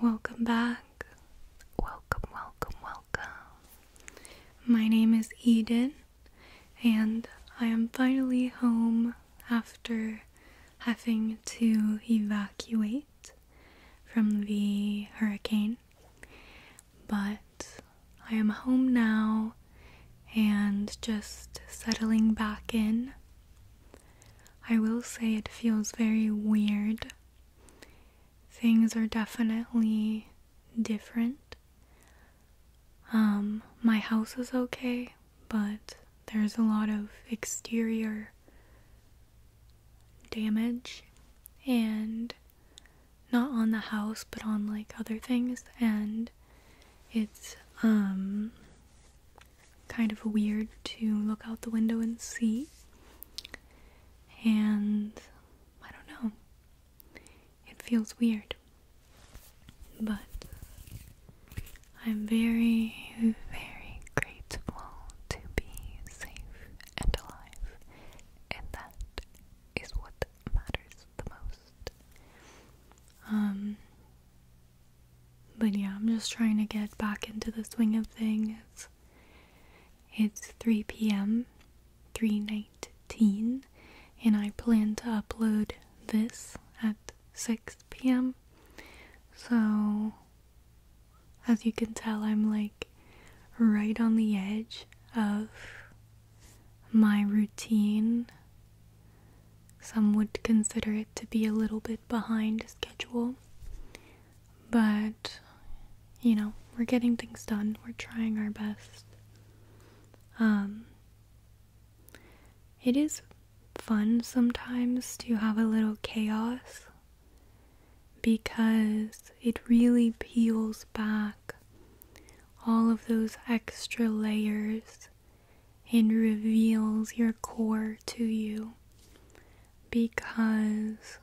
Welcome back. Welcome, welcome, welcome. My name is Eden, and I am finally home after having to evacuate from the hurricane. But I am home now and just settling back in I will say it feels very weird. Things are definitely different. Um, my house is okay, but there's a lot of exterior damage and not on the house but on like other things and it's um kind of weird to look out the window and see. And I don't know. It feels weird. But I'm very, very grateful to be safe and alive. And that is what matters the most. Um, but yeah, I'm just trying to get back into the swing of things. It's 3 p.m., 319, and I plan to upload this at 6 p.m. So, as you can tell, I'm like right on the edge of my routine some would consider it to be a little bit behind schedule, but you know, we're getting things done, we're trying our best. Um, it is fun sometimes to have a little chaos because it really peels back all of those extra layers and reveals your core to you. Because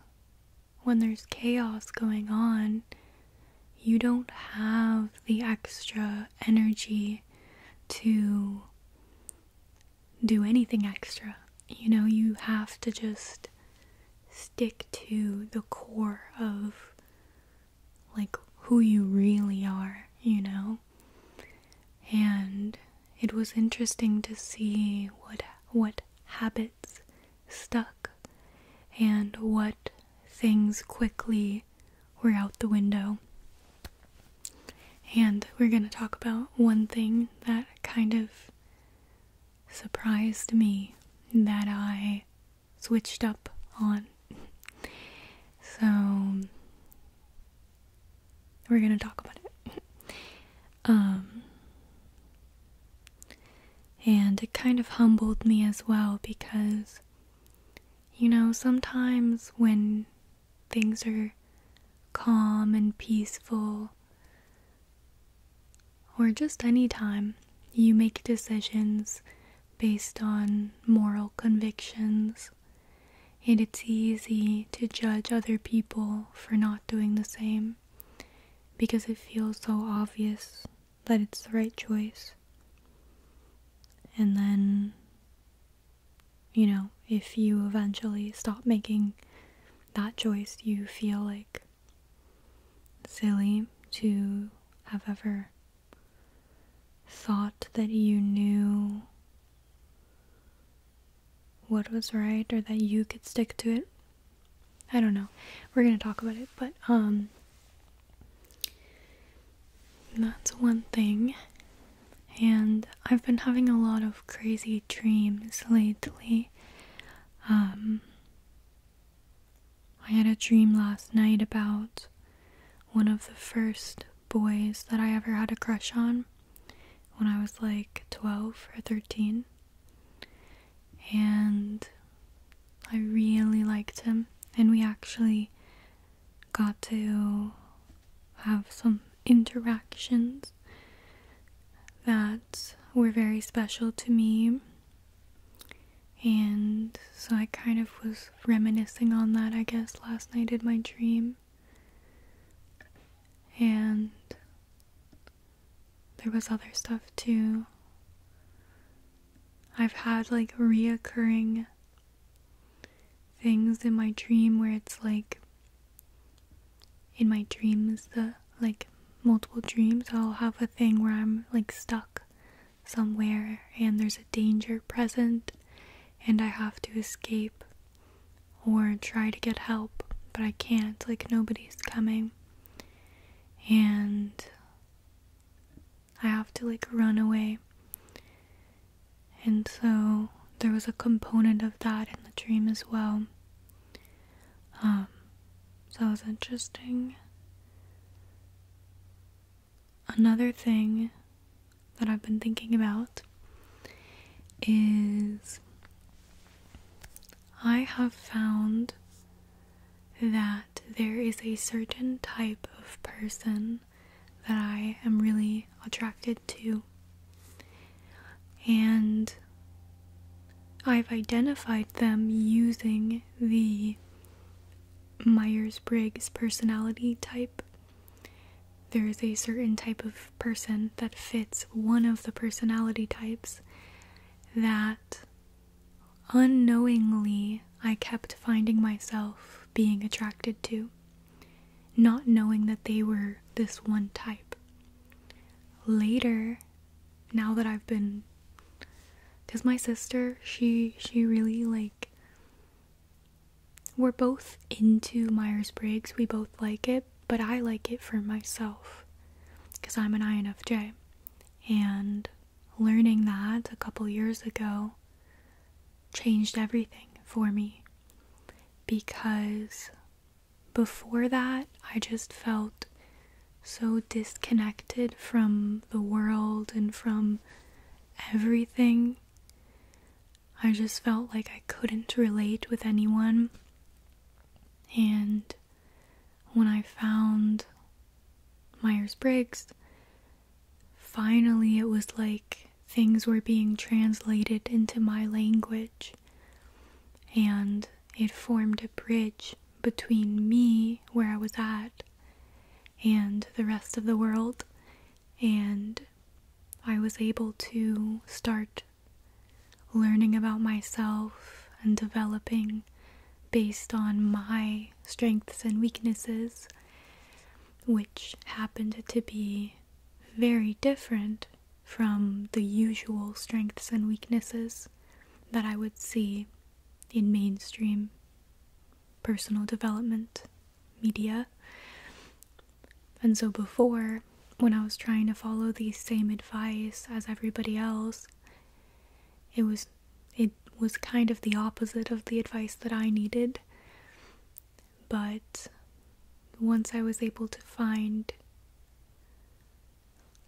when there's chaos going on, you don't have the extra energy to do anything extra. You know, you have to just stick to the core of like who you really are, you know? and it was interesting to see what what habits stuck and what things quickly were out the window. And we're going to talk about one thing that kind of surprised me that I switched up on. So, we're gonna talk about it. um, and it kind of humbled me as well because, you know, sometimes when things are calm and peaceful, or just any time, you make decisions based on moral convictions and it's easy to judge other people for not doing the same because it feels so obvious that it's the right choice. And then, you know, if you eventually stop making that choice, you feel like silly to have ever thought that you knew what was right or that you could stick to it. I don't know. We're going to talk about it, but um that's one thing. And I've been having a lot of crazy dreams lately. Um I had a dream last night about one of the first boys that I ever had a crush on when I was like 12 or 13. And I really liked him. And we actually got to have some interactions that were very special to me. And so I kind of was reminiscing on that, I guess, last night in my dream. And there was other stuff too. I've had like reoccurring things in my dream where it's like in my dreams the like multiple dreams I'll have a thing where I'm like stuck somewhere and there's a danger present and I have to escape or try to get help, but I can't. Like, nobody's coming. And I have to, like, run away. And so there was a component of that in the dream as well. Um, so that was interesting. Another thing that I've been thinking about is I have found that there is a certain type of person that I am really attracted to. And I've identified them using the Myers Briggs personality type there is a certain type of person that fits one of the personality types that unknowingly I kept finding myself being attracted to, not knowing that they were this one type. Later, now that I've been because my sister she she really like we're both into Myers Briggs, we both like it, but I like it for myself because I'm an INFJ. And learning that a couple years ago changed everything for me because before that, I just felt so disconnected from the world and from everything I just felt like I couldn't relate with anyone. And when I found Myers Briggs, finally it was like things were being translated into my language. And it formed a bridge between me, where I was at, and the rest of the world and I was able to start learning about myself and developing based on my strengths and weaknesses, which happened to be very different from the usual strengths and weaknesses that I would see in mainstream personal development media. And so, before, when I was trying to follow the same advice as everybody else, it was it was kind of the opposite of the advice that I needed. But once I was able to find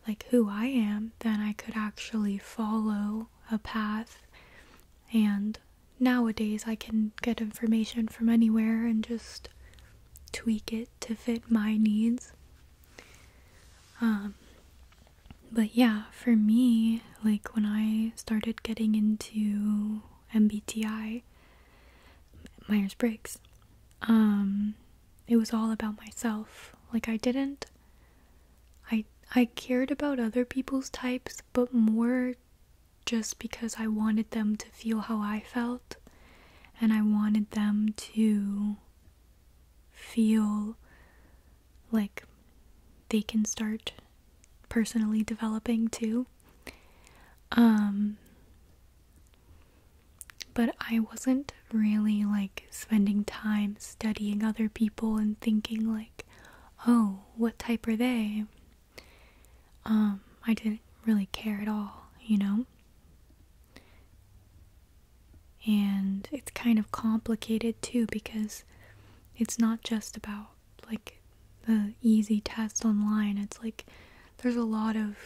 like who I am, then I could actually follow a path and nowadays I can get information from anywhere and just tweak it to fit my needs. Um, but yeah, for me, like when I started getting into MBTI, Myers Briggs, um, it was all about myself. Like I didn't, I I cared about other people's types, but more just because I wanted them to feel how I felt and I wanted them to feel like they can start personally developing too. Um, but I wasn't really like spending time studying other people and thinking, like, oh, what type are they? Um, I didn't really care at all, you know? And it's kind of complicated too because it's not just about like the easy test online. It's like there's a lot of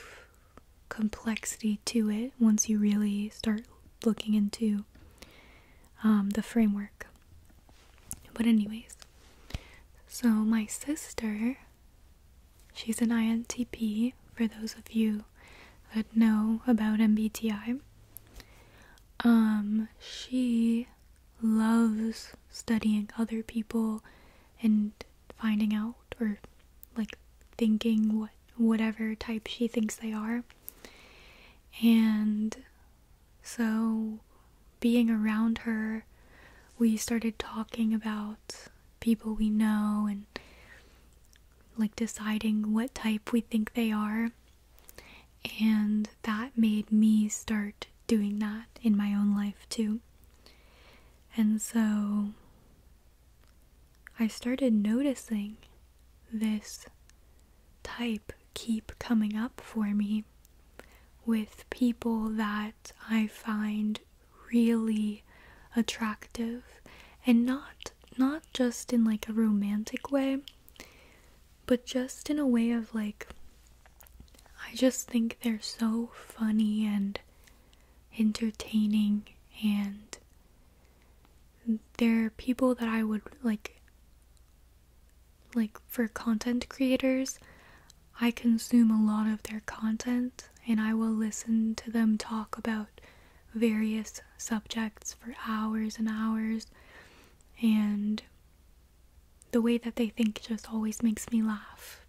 complexity to it once you really start looking into um, the framework. But, anyways, so, my sister, she's an INTP, for those of you that know about MBTI. Um, she loves studying other people and finding out or like thinking what whatever type she thinks they are. And so, being around her, we started talking about people we know and like deciding what type we think they are. And that made me start doing that in my own life too. And so I started noticing this type keep coming up for me with people that I find really attractive and not not just in like a romantic way but just in a way of like I just think they're so funny and entertaining and they're people that I would like like for content creators, I consume a lot of their content and I will listen to them talk about various subjects for hours and hours. And the way that they think just always makes me laugh.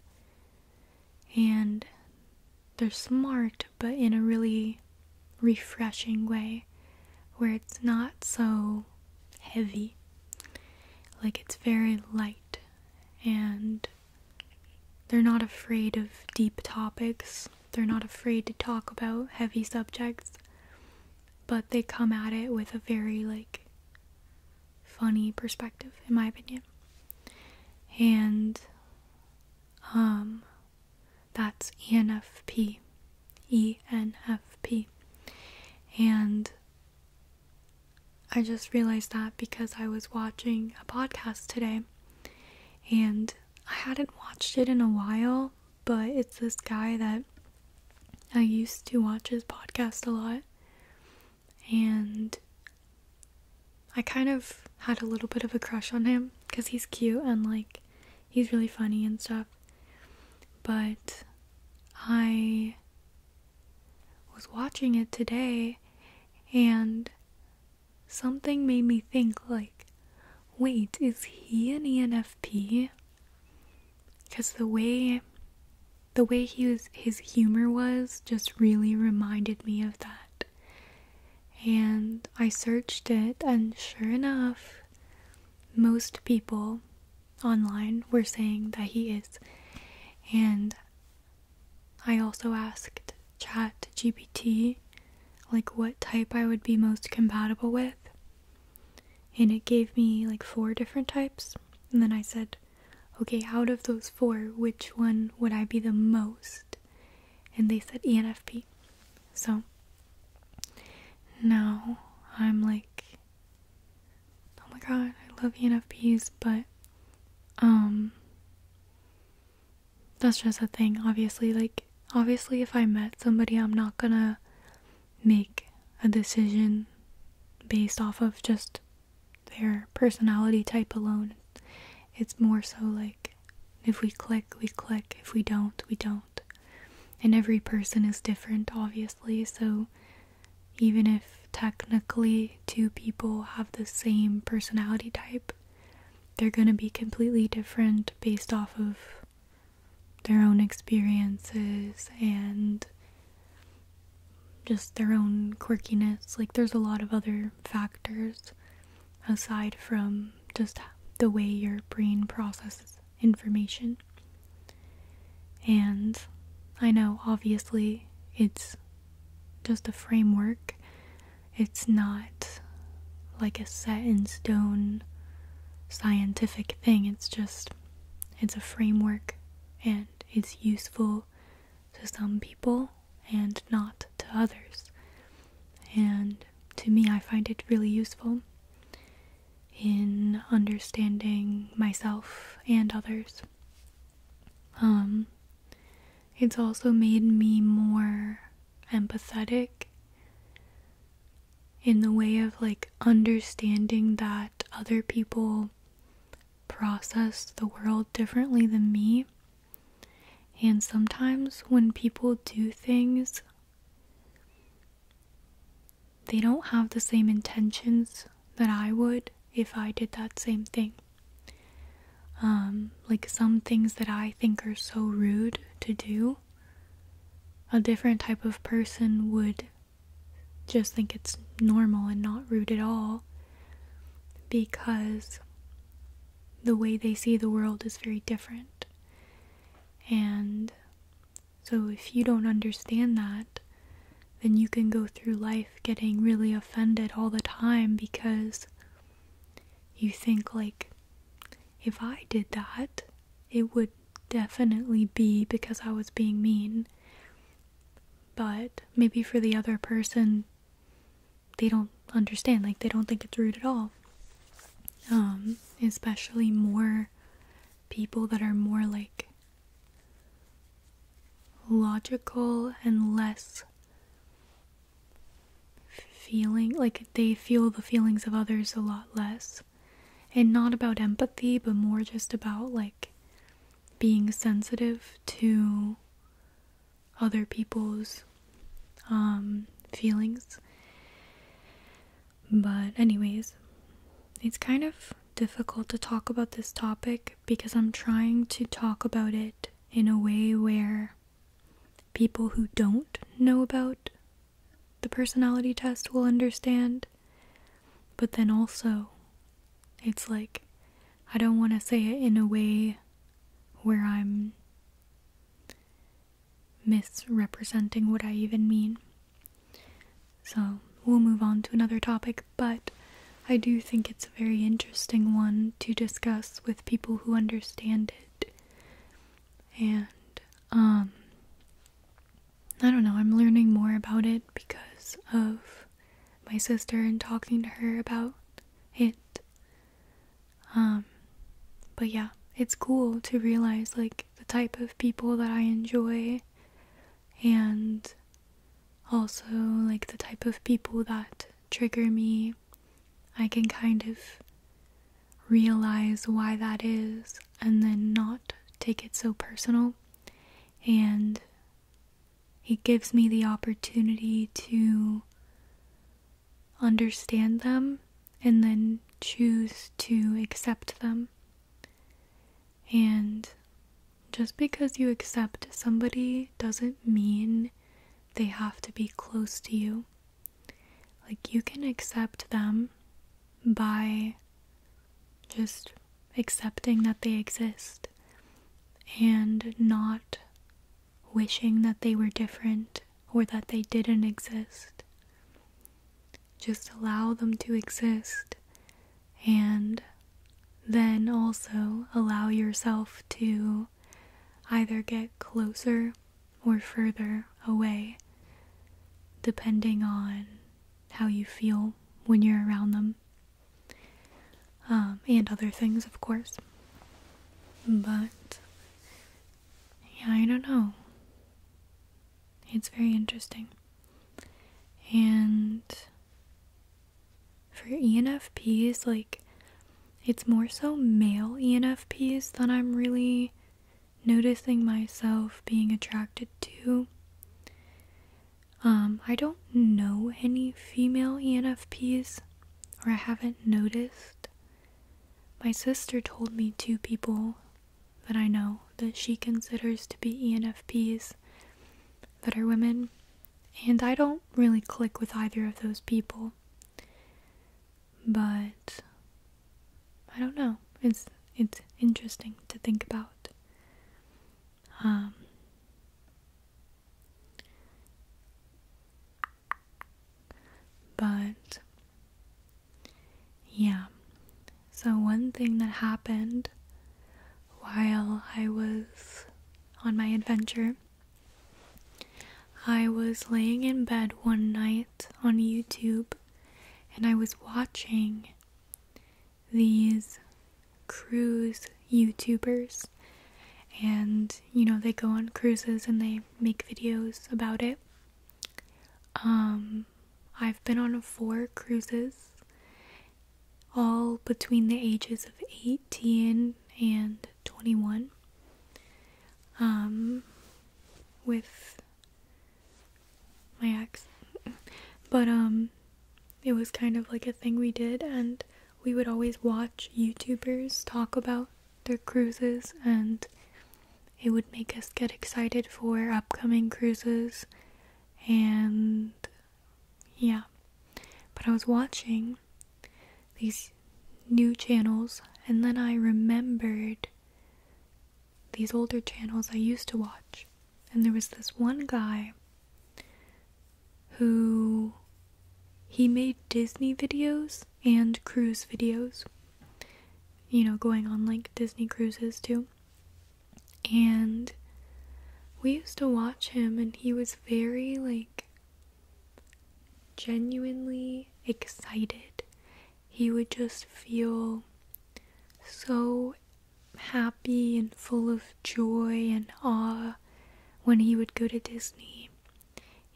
And they're smart, but in a really refreshing way where it's not so heavy. Like it's very light and they're not afraid of deep topics. They're not afraid to talk about heavy subjects, but they come at it with a very like funny perspective in my opinion. And um that's ENFP. ENFP. And I just realized that because I was watching a podcast today and I hadn't watched it in a while, but it's this guy that I used to watch his podcast a lot and I kind of had a little bit of a crush on him because he's cute and like he's really funny and stuff. But I was watching it today and something made me think like wait is he an enfp because the way the way he was his humor was just really reminded me of that and i searched it and sure enough most people online were saying that he is. And I also asked Chat GPT like what type I would be most compatible with. And it gave me like four different types. And then I said, okay, out of those four, which one would I be the most? And they said ENFP. So now I'm like oh my god, I love ENFPs, but um that's just a thing, obviously. Like obviously if I met somebody I'm not gonna make a decision based off of just their personality type alone. It's more so like if we click, we click. If we don't, we don't. And every person is different, obviously, so even if technically two people have the same personality type, they're going to be completely different based off of their own experiences and just their own quirkiness. Like, there's a lot of other factors aside from just the way your brain processes information. And I know, obviously, it's just a framework, it's not like a set in stone scientific thing, it's just it's a framework and it's useful to some people and not to others. And to me, I find it really useful in understanding myself and others. Um, it's also made me more empathetic in the way of like understanding that other people process the world differently than me. And sometimes when people do things, they don't have the same intentions that I would if I did that same thing. Um, like some things that I think are so rude to do, a different type of person would just think it's normal and not rude at all because the way they see the world is very different. And so if you don't understand that, then you can go through life getting really offended all the time because you think, like, if I did that, it would definitely be because I was being mean. But maybe for the other person, they don't understand. Like, they don't think it's rude at all. Um, especially more people that are more like logical and less feeling like they feel the feelings of others a lot less and not about empathy but more just about like being sensitive to other people's um, feelings but anyways it's kind of difficult to talk about this topic because I'm trying to talk about it in a way where people who don't know about the personality test will understand. But then also, it's like I don't want to say it in a way where I'm misrepresenting what I even mean. So we'll move on to another topic, but I do think it's a very interesting one to discuss with people who understand it. And, um, I don't know, I'm learning more about it because of my sister and talking to her about it. Um, but yeah, it's cool to realize like the type of people that I enjoy and also like the type of people that trigger me. I can kind of realize why that is and then not take it so personal. And it gives me the opportunity to understand them and then choose to accept them and just because you accept somebody doesn't mean they have to be close to you. Like, you can accept them by just accepting that they exist and not wishing that they were different or that they didn't exist just allow them to exist and then also allow yourself to either get closer or further away, depending on how you feel when you're around them, um, and other things, of course. But yeah, I don't know. It's very interesting. And for ENFPs, like, it's more so male ENFPs that I'm really noticing myself being attracted to. Um, I don't know any female ENFPs, or I haven't noticed. My sister told me two people that I know that she considers to be ENFPs that are women, and I don't really click with either of those people. But I don't know. It's it's interesting to think about. Um but yeah so, one thing that happened while I was on my adventure, I was laying in bed one night on YouTube and I was watching these cruise YouTubers. And, you know, they go on cruises and they make videos about it. Um, I've been on four cruises, all between the ages of 18 and 21, um, with my ex. But, um, it was kind of like a thing we did, and we would always watch YouTubers talk about their cruises, and it would make us get excited for upcoming cruises and yeah. But I was watching these new channels, and then I remembered these older channels I used to watch. And there was this one guy who he made Disney videos and cruise videos, you know, going on like Disney cruises too. And we used to watch him, and he was very, like, genuinely excited. He would just feel so happy and full of joy and awe when he would go to Disney.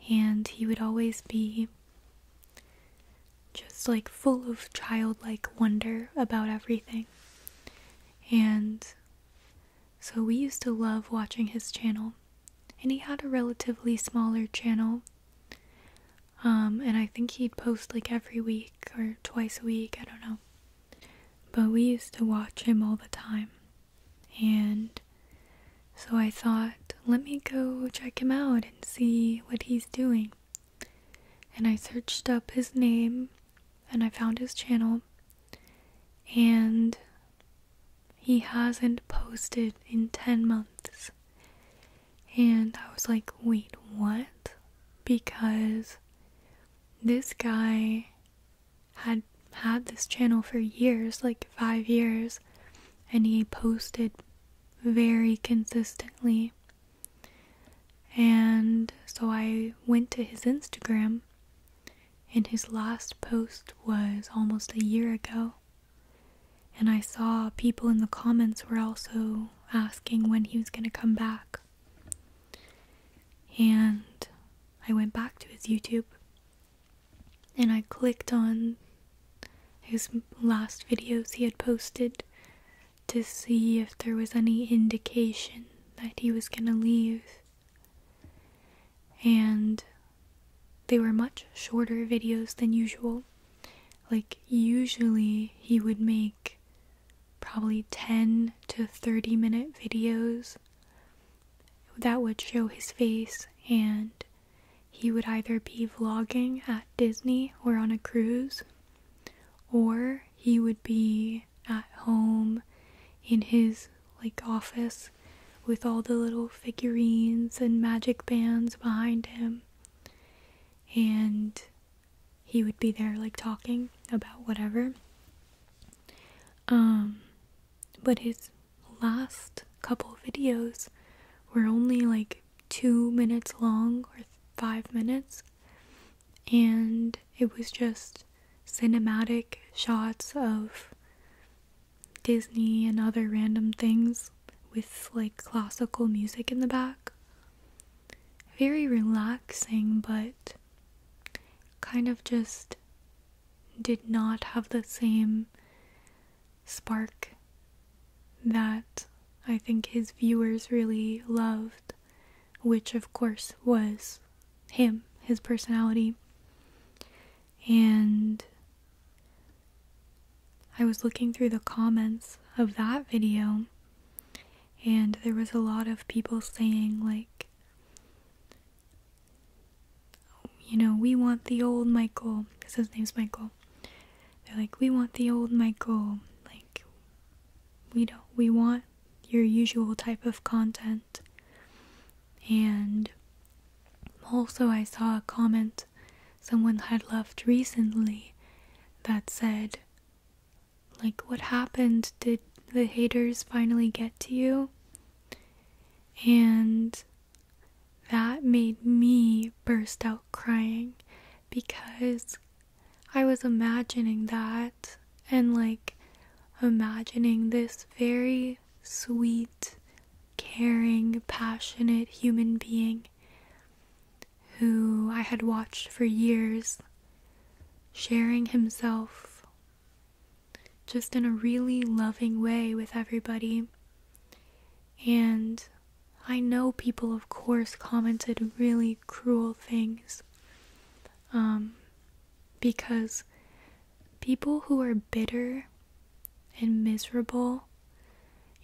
And he would always be just like full of childlike wonder about everything. And so we used to love watching his channel. And he had a relatively smaller channel. Um, and I think he'd post like every week or twice a week, I don't know. But we used to watch him all the time. And so I thought, let me go check him out and see what he's doing. And I searched up his name and I found his channel. And he hasn't posted in 10 months. And I was like, wait, what? Because this guy had had this channel for years, like five years, and he posted very consistently and so I went to his Instagram, and his last post was almost a year ago. And I saw people in the comments were also asking when he was going to come back. And I went back to his YouTube and I clicked on his last videos he had posted to see if there was any indication that he was going to leave. And they were much shorter videos than usual. Like, usually he would make probably 10 to 30 minute videos that would show his face, and he would either be vlogging at Disney or on a cruise, or he would be at home in his like office with all the little figurines and magic bands behind him and he would be there like talking about whatever um but his last couple videos were only like 2 minutes long or 5 minutes and it was just cinematic shots of Disney and other random things with like classical music in the back. Very relaxing, but kind of just did not have the same spark that I think his viewers really loved which of course was him, his personality. And I was looking through the comments of that video, and there was a lot of people saying, like, you know, we want the old Michael, because his name's Michael. They're like, we want the old Michael. Like, we don't, we want your usual type of content. And also, I saw a comment someone had left recently that said, like, what happened? Did the haters finally get to you? And that made me burst out crying because I was imagining that and like imagining this very sweet, caring, passionate human being who I had watched for years sharing himself just in a really loving way with everybody. And I know people, of course, commented really cruel things. Um, because people who are bitter and miserable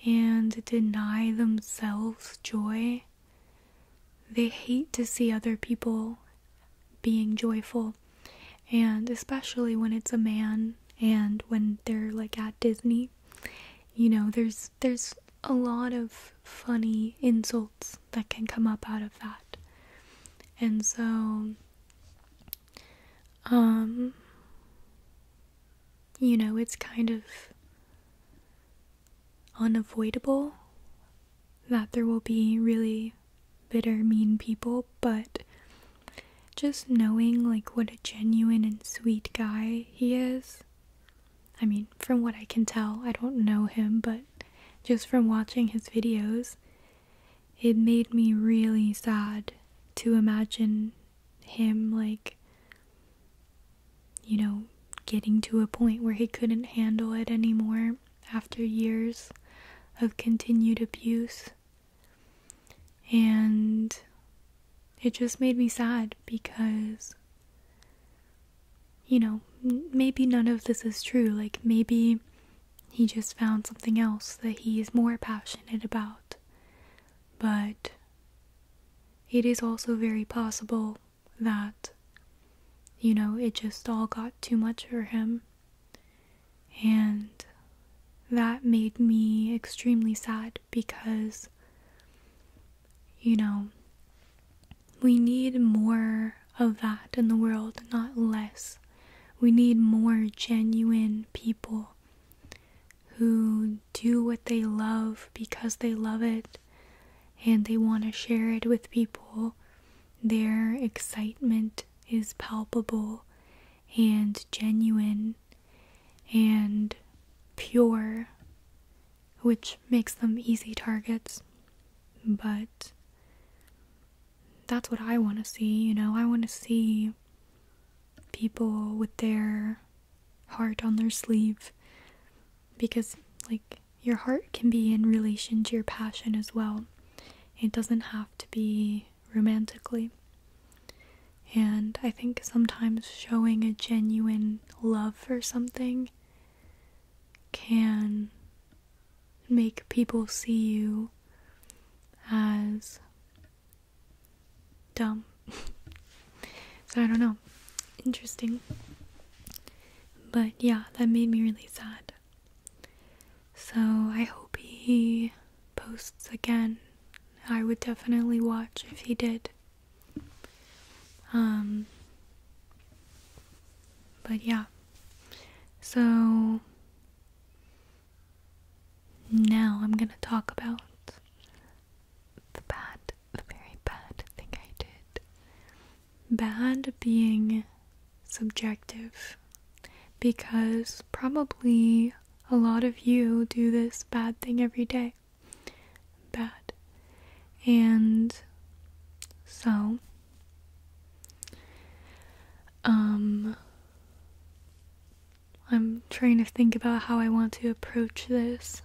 and deny themselves joy, they hate to see other people being joyful. And especially when it's a man and when they're like at Disney, you know, there's there's a lot of funny insults that can come up out of that. And so um you know, it's kind of unavoidable that there will be really bitter mean people, but just knowing like what a genuine and sweet guy he is I mean, from what I can tell, I don't know him, but just from watching his videos, it made me really sad to imagine him, like, you know, getting to a point where he couldn't handle it anymore after years of continued abuse. And it just made me sad because you know, maybe none of this is true. Like, maybe he just found something else that he is more passionate about. But it is also very possible that, you know, it just all got too much for him. And that made me extremely sad because you know, we need more of that in the world, not less. We need more genuine people who do what they love because they love it and they want to share it with people. Their excitement is palpable and genuine and pure which makes them easy targets. But that's what I want to see, you know. I want to see people with their heart on their sleeve because, like, your heart can be in relation to your passion as well. It doesn't have to be romantically. And I think sometimes showing a genuine love for something can make people see you as dumb. so I don't know. Interesting. But yeah, that made me really sad. So I hope he posts again. I would definitely watch if he did. Um, but yeah, so now I'm gonna talk about the bad, the very bad thing I did. Bad being subjective because probably a lot of you do this bad thing every day bad. And so, um, I'm trying to think about how I want to approach this.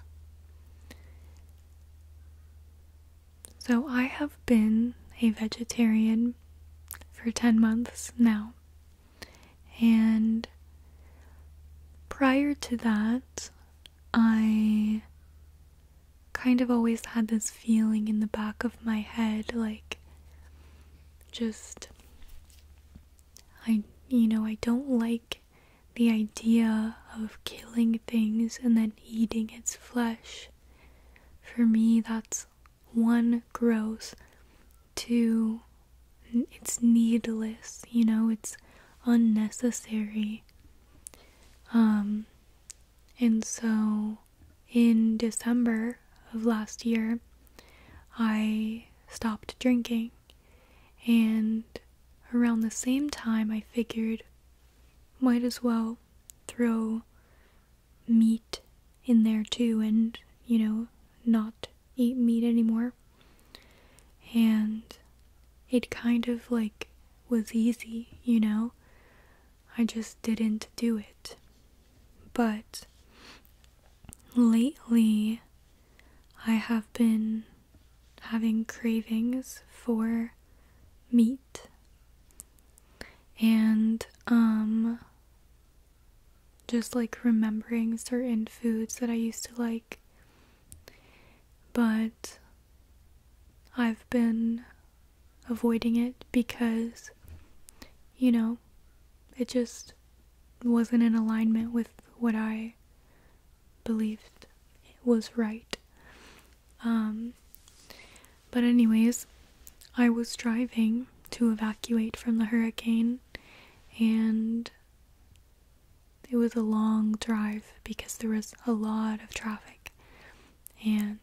So, I have been a vegetarian for 10 months now. And prior to that, I kind of always had this feeling in the back of my head like just I you know, I don't like the idea of killing things and then eating its flesh. For me, that's one gross, two it's needless, you know, it's unnecessary. Um, and so in December of last year, I stopped drinking. And around the same time, I figured might as well throw meat in there too and, you know, not eat meat anymore. And it kind of like was easy, you know? I just didn't do it. But lately, I have been having cravings for meat. And, um, just like remembering certain foods that I used to like but I've been avoiding it because, you know, it just wasn't in alignment with what I believed was right. Um, but, anyways, I was driving to evacuate from the hurricane and it was a long drive because there was a lot of traffic. And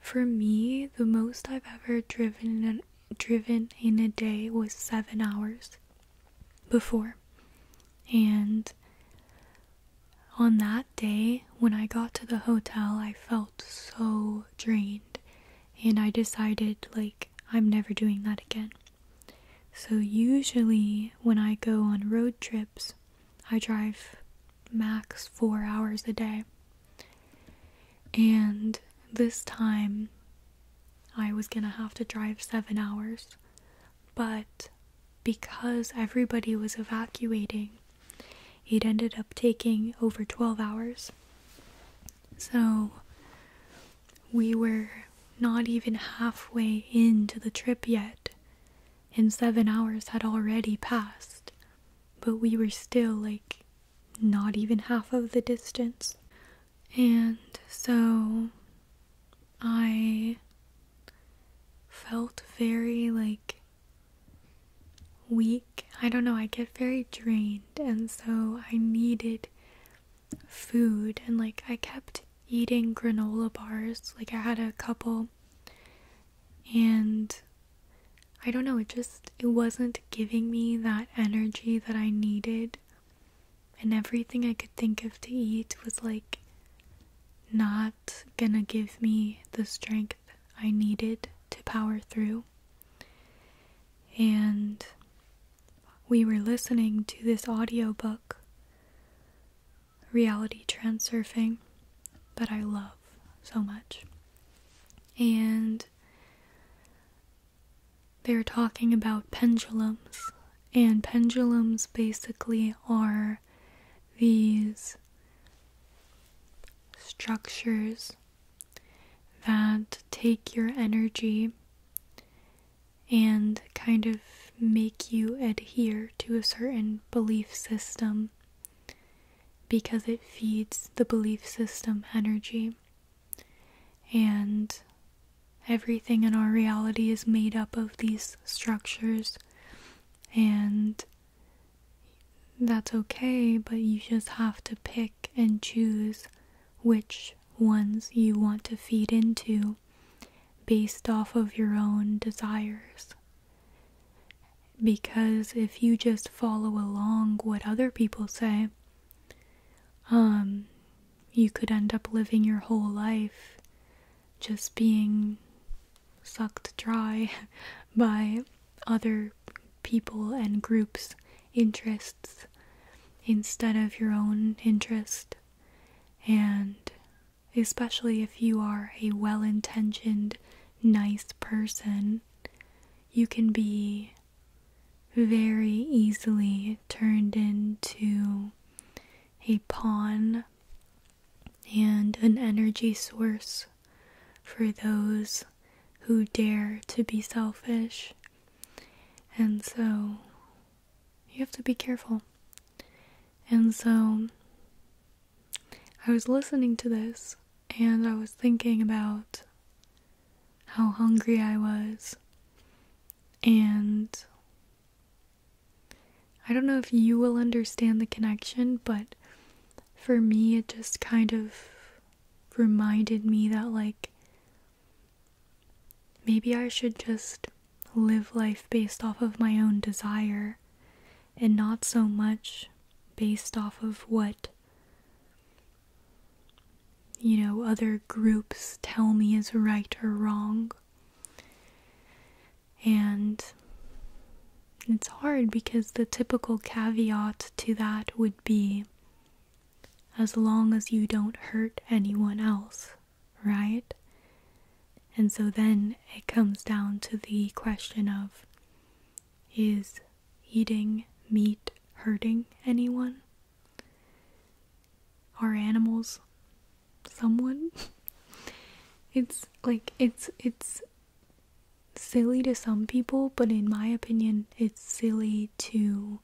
for me, the most I've ever driven in a, driven in a day was 7 hours before. And on that day, when I got to the hotel, I felt so drained and I decided like I'm never doing that again. So, usually when I go on road trips, I drive max four hours a day. And this time I was gonna have to drive seven hours, but because everybody was evacuating, it ended up taking over 12 hours. So we were not even halfway into the trip yet, and seven hours had already passed, but we were still like not even half of the distance. And so I felt very like weak. I don't know, I get very drained, and so I needed food, and like I kept eating granola bars. Like I had a couple and I don't know, it just it wasn't giving me that energy that I needed. And everything I could think of to eat was like not gonna give me the strength I needed to power through. And we were listening to this audiobook, Reality Transurfing, that I love so much. And they are talking about pendulums, and pendulums basically are these structures that take your energy and kind of make you adhere to a certain belief system because it feeds the belief system energy. And everything in our reality is made up of these structures, and that's okay, but you just have to pick and choose which ones you want to feed into based off of your own desires. Because if you just follow along what other people say, um, you could end up living your whole life just being sucked dry by other people and groups' interests instead of your own interests. And especially if you are a well intentioned, nice person, you can be very easily turned into a pawn and an energy source for those who dare to be selfish. And so you have to be careful. And so I was listening to this and I was thinking about how hungry I was. And I don't know if you will understand the connection, but for me, it just kind of reminded me that, like, Maybe I should just live life based off of my own desire and not so much based off of what you know other groups tell me is right or wrong and it's hard because the typical caveat to that would be as long as you don't hurt anyone else right? And so then it comes down to the question of is eating meat hurting anyone? Are animals someone? it's like it's it's silly to some people, but in my opinion, it's silly too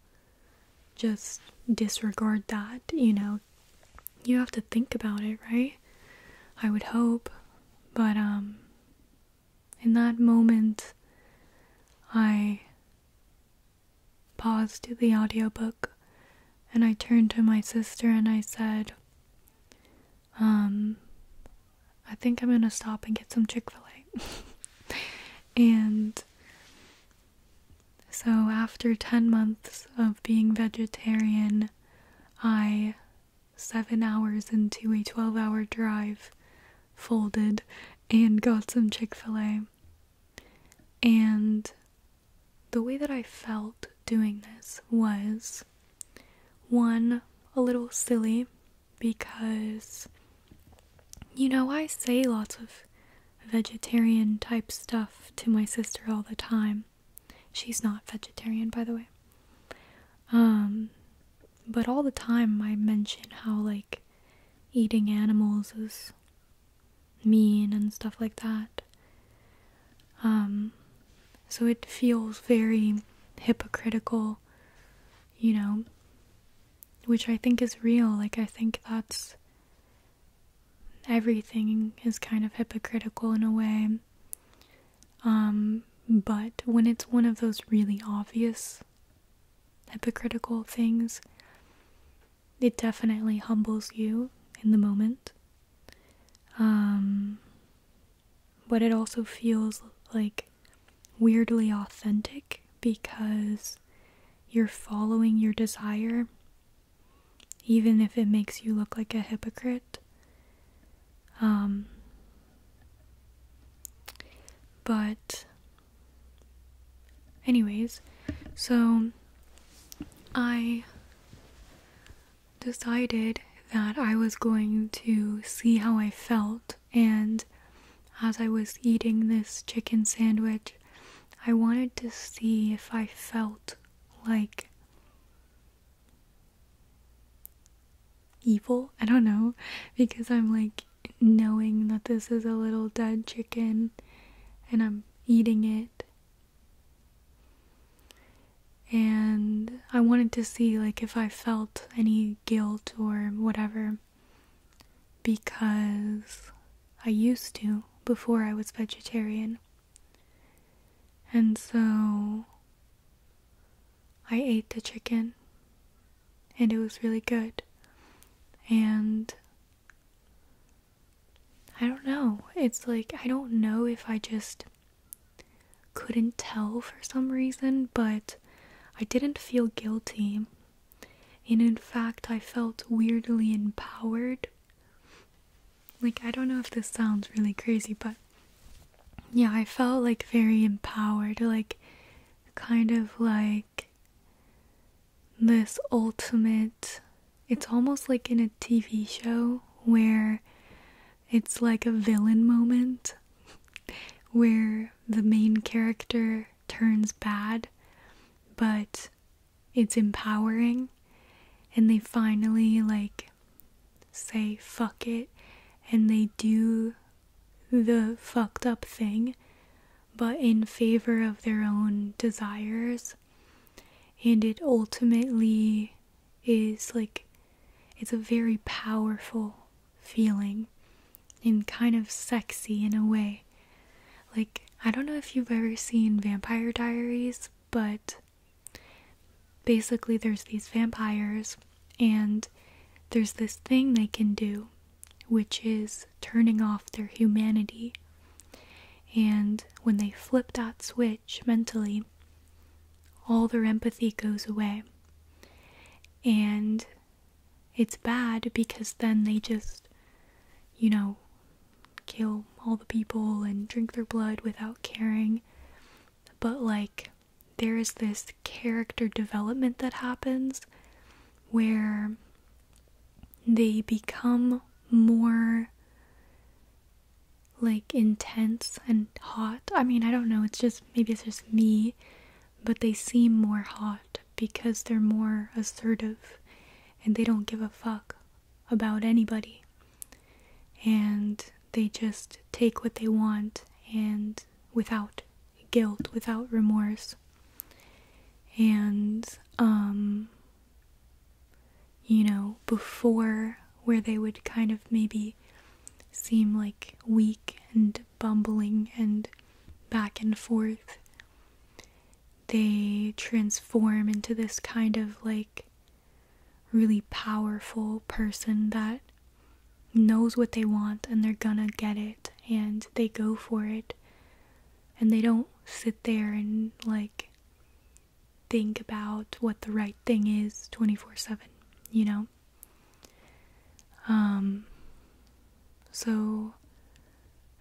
just disregard that, you know. You have to think about it, right? I would hope. But um in that moment I paused the audio book, and I turned to my sister and I said, um, I think I'm gonna stop and get some Chick fil A. and so, after 10 months of being vegetarian, I, seven hours into a 12 hour drive, folded and got some Chick fil A. And the way that I felt doing this was one, a little silly because, you know, I say lots of vegetarian type stuff to my sister all the time. She's not vegetarian, by the way. Um, but all the time I mention how, like, eating animals is mean and stuff like that. Um, so it feels very hypocritical, you know, which I think is real. Like, I think that's everything is kind of hypocritical in a way. Um, but when it's one of those really obvious hypocritical things, it definitely humbles you in the moment. Um, but it also feels like weirdly authentic because you're following your desire, even if it makes you look like a hypocrite. Um, but, anyways, so I decided that I was going to see how I felt, and as I was eating this chicken sandwich, I wanted to see if I felt like evil. I don't know. Because I'm like knowing that this is a little dead chicken and I'm eating it. And I wanted to see like if I felt any guilt or whatever because I used to before I was vegetarian. And so I ate the chicken and it was really good. And I don't know. It's like, I don't know if I just couldn't tell for some reason, but I didn't feel guilty and in fact, I felt weirdly empowered. Like, I don't know if this sounds really crazy, but yeah, I felt like very empowered, like, kind of like this ultimate. It's almost like in a TV show where it's like a villain moment where the main character turns bad, but it's empowering and they finally like say fuck it and they do the fucked up thing but in favor of their own desires and it ultimately is like it's a very powerful feeling and kind of sexy in a way like, I don't know if you've ever seen Vampire Diaries, but basically, there's these vampires, and there's this thing they can do, which is turning off their humanity. And when they flip that switch mentally, all their empathy goes away. And it's bad because then they just, you know, kill all the people and drink their blood without caring. But, like, there is this character development that happens where they become more like intense and hot. I mean, I don't know, it's just maybe it's just me, but they seem more hot because they're more assertive and they don't give a fuck about anybody. And they just take what they want and without guilt, without remorse. And, um, you know, before where they would kind of maybe seem like weak and bumbling and back and forth, they transform into this kind of like really powerful person that knows what they want and they're gonna get it and they go for it and they don't sit there and like think about what the right thing is 24/7, you know. Um so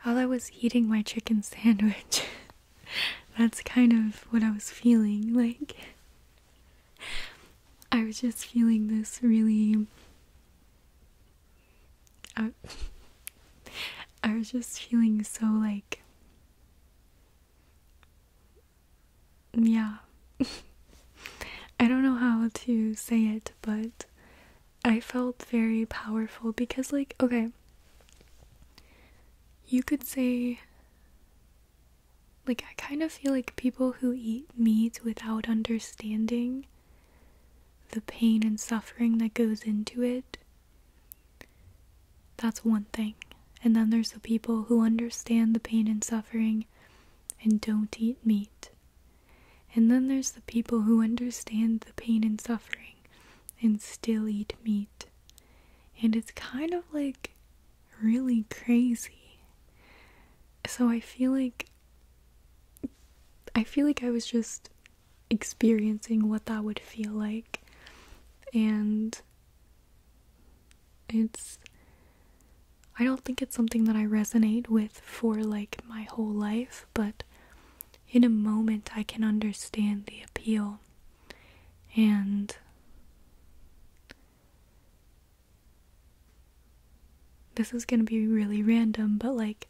while I was eating my chicken sandwich. That's kind of what I was feeling. Like, I was just feeling this really. I, I was just feeling so like. Yeah. I don't know how to say it, but I felt very powerful because, like, okay, you could say, like, I kind of feel like people who eat meat without understanding the pain and suffering that goes into it, that's one thing. And then there's the people who understand the pain and suffering and don't eat meat. And then there's the people who understand the pain and suffering and still eat meat. And it's kind of like really crazy. So I feel like I feel like I was just experiencing what that would feel like. And it's I don't think it's something that I resonate with for like my whole life, but in a moment I can understand the appeal and this is going to be really random, but like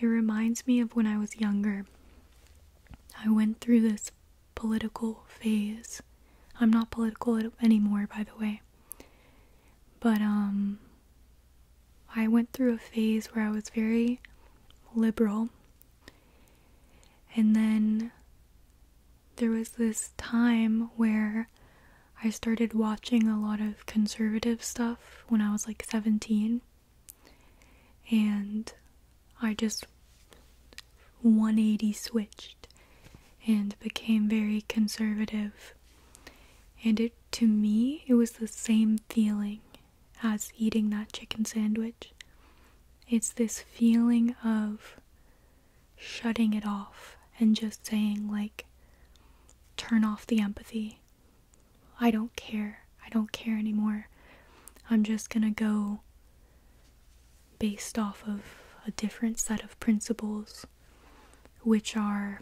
it reminds me of when I was younger. I went through this political phase. I'm not political anymore, by the way. But um I went through a phase where I was very liberal. And then there was this time where I started watching a lot of conservative stuff when I was like 17. And I just 180 switched and became very conservative. And it to me, it was the same feeling as eating that chicken sandwich. It's this feeling of shutting it off and just saying, like, turn off the empathy. I don't care. I don't care anymore. I'm just gonna go based off of a different set of principles, which are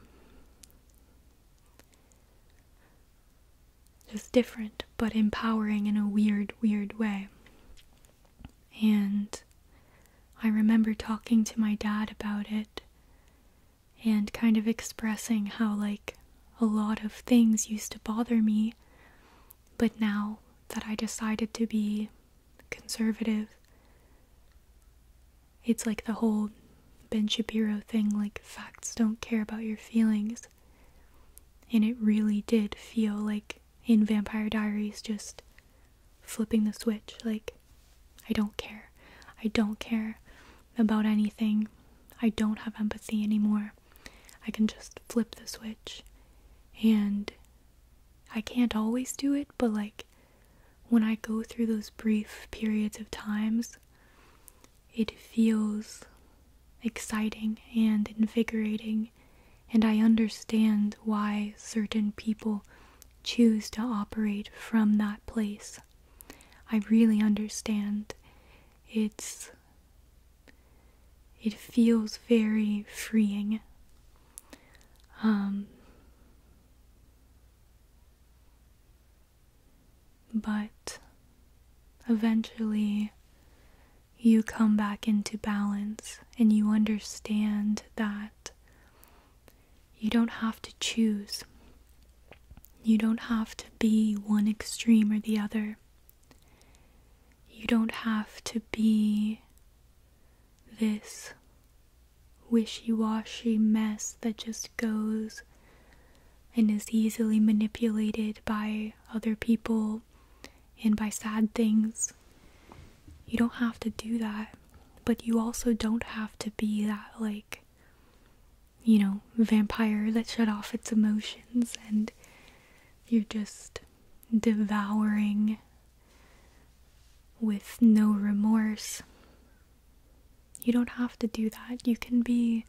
was different, but empowering in a weird, weird way. And I remember talking to my dad about it and kind of expressing how, like, a lot of things used to bother me, but now that I decided to be conservative, it's like the whole Ben Shapiro thing like, facts don't care about your feelings. And it really did feel like in Vampire Diaries, just flipping the switch. Like, I don't care. I don't care about anything. I don't have empathy anymore. I can just flip the switch. And I can't always do it, but like, when I go through those brief periods of times it feels exciting and invigorating, and I understand why certain people choose to operate from that place. I really understand. It's it feels very freeing. Um but eventually, you come back into balance and you understand that you don't have to choose. You don't have to be one extreme or the other. You don't have to be this wishy washy mess that just goes and is easily manipulated by other people and by sad things. You don't have to do that, but you also don't have to be that, like, you know, vampire that shut off its emotions and you're just devouring with no remorse you don't have to do that. You can be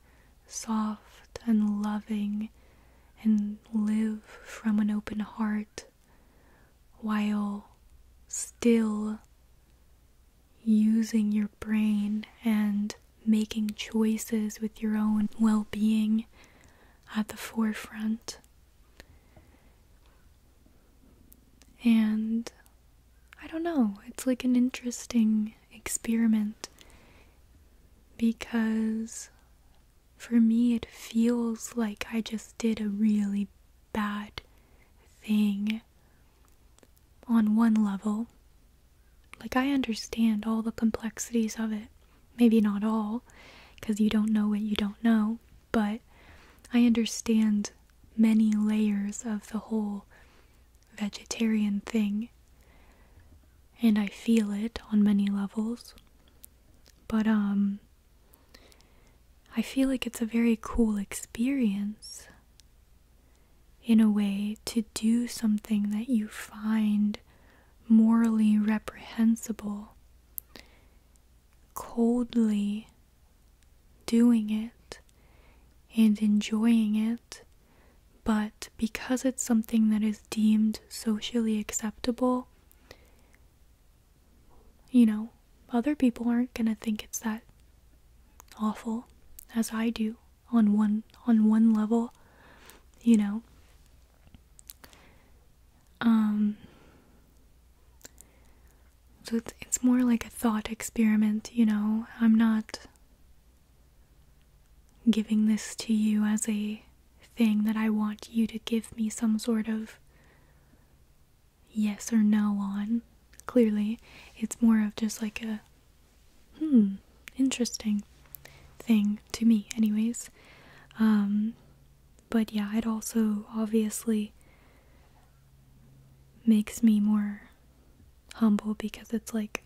soft and loving and live from an open heart while still using your brain and making choices with your own well being at the forefront. And I don't know, it's like an interesting experiment because for me it feels like I just did a really bad thing on one level. Like, I understand all the complexities of it. Maybe not all, because you don't know what you don't know, but I understand many layers of the whole vegetarian thing, and I feel it on many levels. But, um, I feel like it's a very cool experience in a way to do something that you find morally reprehensible, coldly doing it and enjoying it, but because it's something that is deemed socially acceptable, you know, other people aren't going to think it's that awful as I do on one on one level, you know. Um so it's, it's more like a thought experiment, you know. I'm not Giving this to you as a thing that I want you to give me some sort of yes or no on. Clearly, it's more of just like a hmm, interesting thing to me, anyways. Um, but yeah, it also obviously makes me more humble because it's like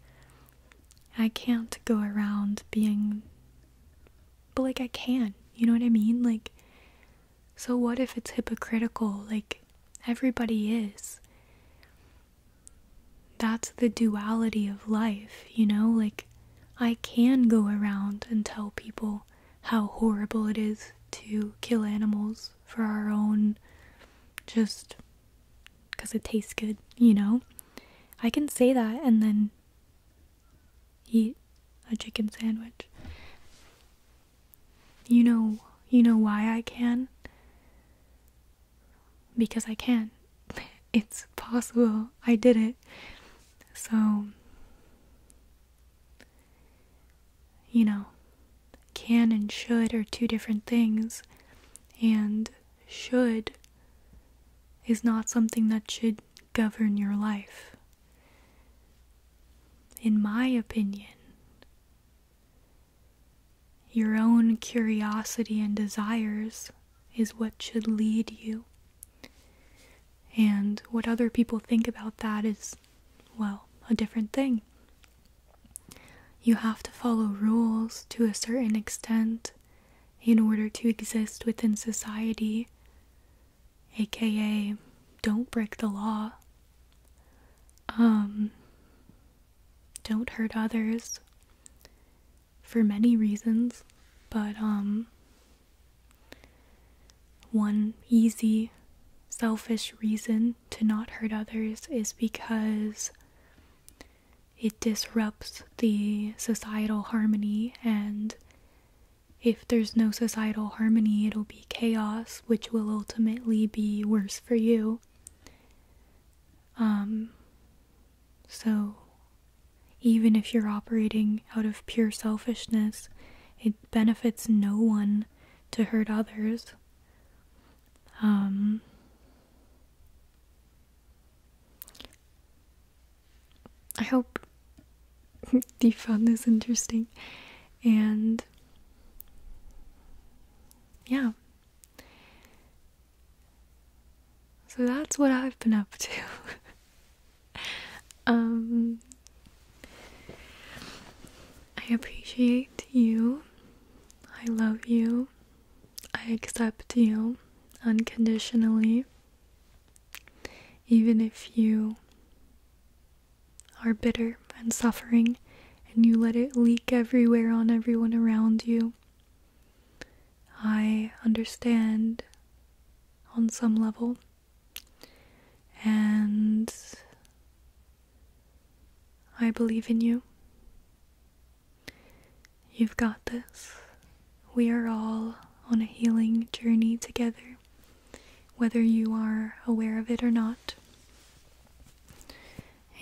I can't go around being but like I can, you know what I mean? Like so what if it's hypocritical? Like everybody is. That's the duality of life, you know? Like I can go around and tell people how horrible it is to kill animals for our own just because it tastes good, you know? I can say that and then eat a chicken sandwich. You know, you know why I can? Because I can. It's possible. I did it. So you know, can and should are two different things, and should is not something that should govern your life. In my opinion, your own curiosity and desires is what should lead you. And what other people think about that is, well, a different thing. You have to follow rules to a certain extent in order to exist within society, aka don't break the law. Um, don't hurt others for many reasons, but um, one easy, selfish reason to not hurt others is because it disrupts the societal harmony, and if there's no societal harmony, it'll be chaos, which will ultimately be worse for you. Um, so, even if you're operating out of pure selfishness, it benefits no one to hurt others. Um, I hope you found this interesting and yeah. So that's what I've been up to. um, I appreciate you I love you. I accept you unconditionally. Even if you are bitter and suffering and you let it leak everywhere on everyone around you, I understand on some level. And I believe in you. You've got this. We are all on a healing journey together, whether you are aware of it or not.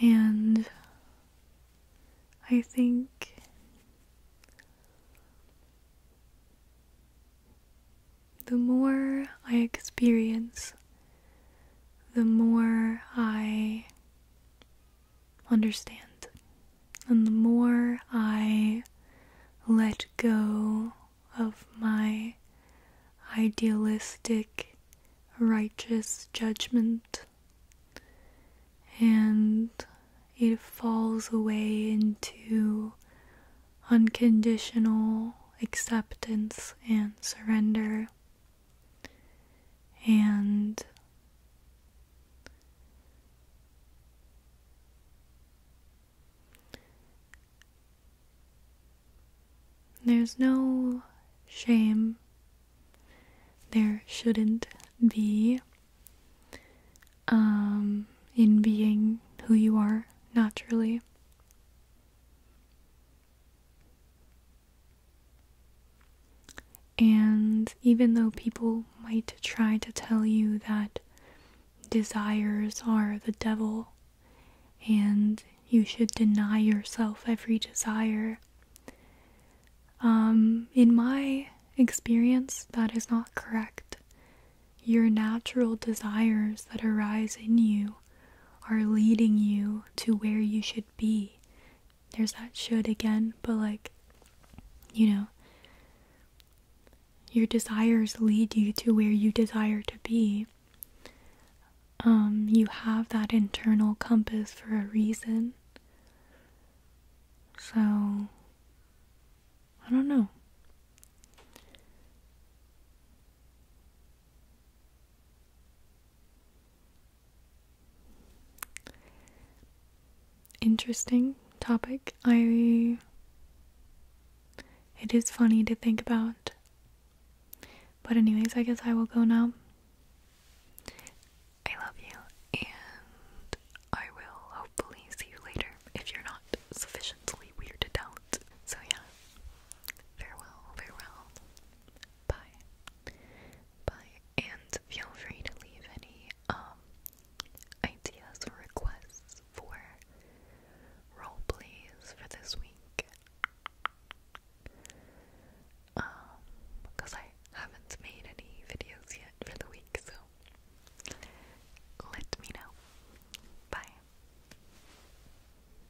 And I think the more I experience the more I understand. And the more I let go of my idealistic, righteous judgment, and it falls away into unconditional acceptance and surrender and there's no shame. There shouldn't be um, in being who you are naturally. And even though people might try to tell you that desires are the devil and you should deny yourself every desire, um, in my experience, that is not correct. Your natural desires that arise in you are leading you to where you should be. There's that should again, but like, you know, your desires lead you to where you desire to be. Um, you have that internal compass for a reason. So, I don't know. Interesting topic. I. It is funny to think about. But, anyways, I guess I will go now. I love you, and I will hopefully see you later if you're not sufficiently weirded out. So, yeah, farewell, farewell. Bye. Bye. And feel free to leave any um ideas or requests for role plays for this week. Um, because I haven't made any videos yet for the week, so let me know. Bye.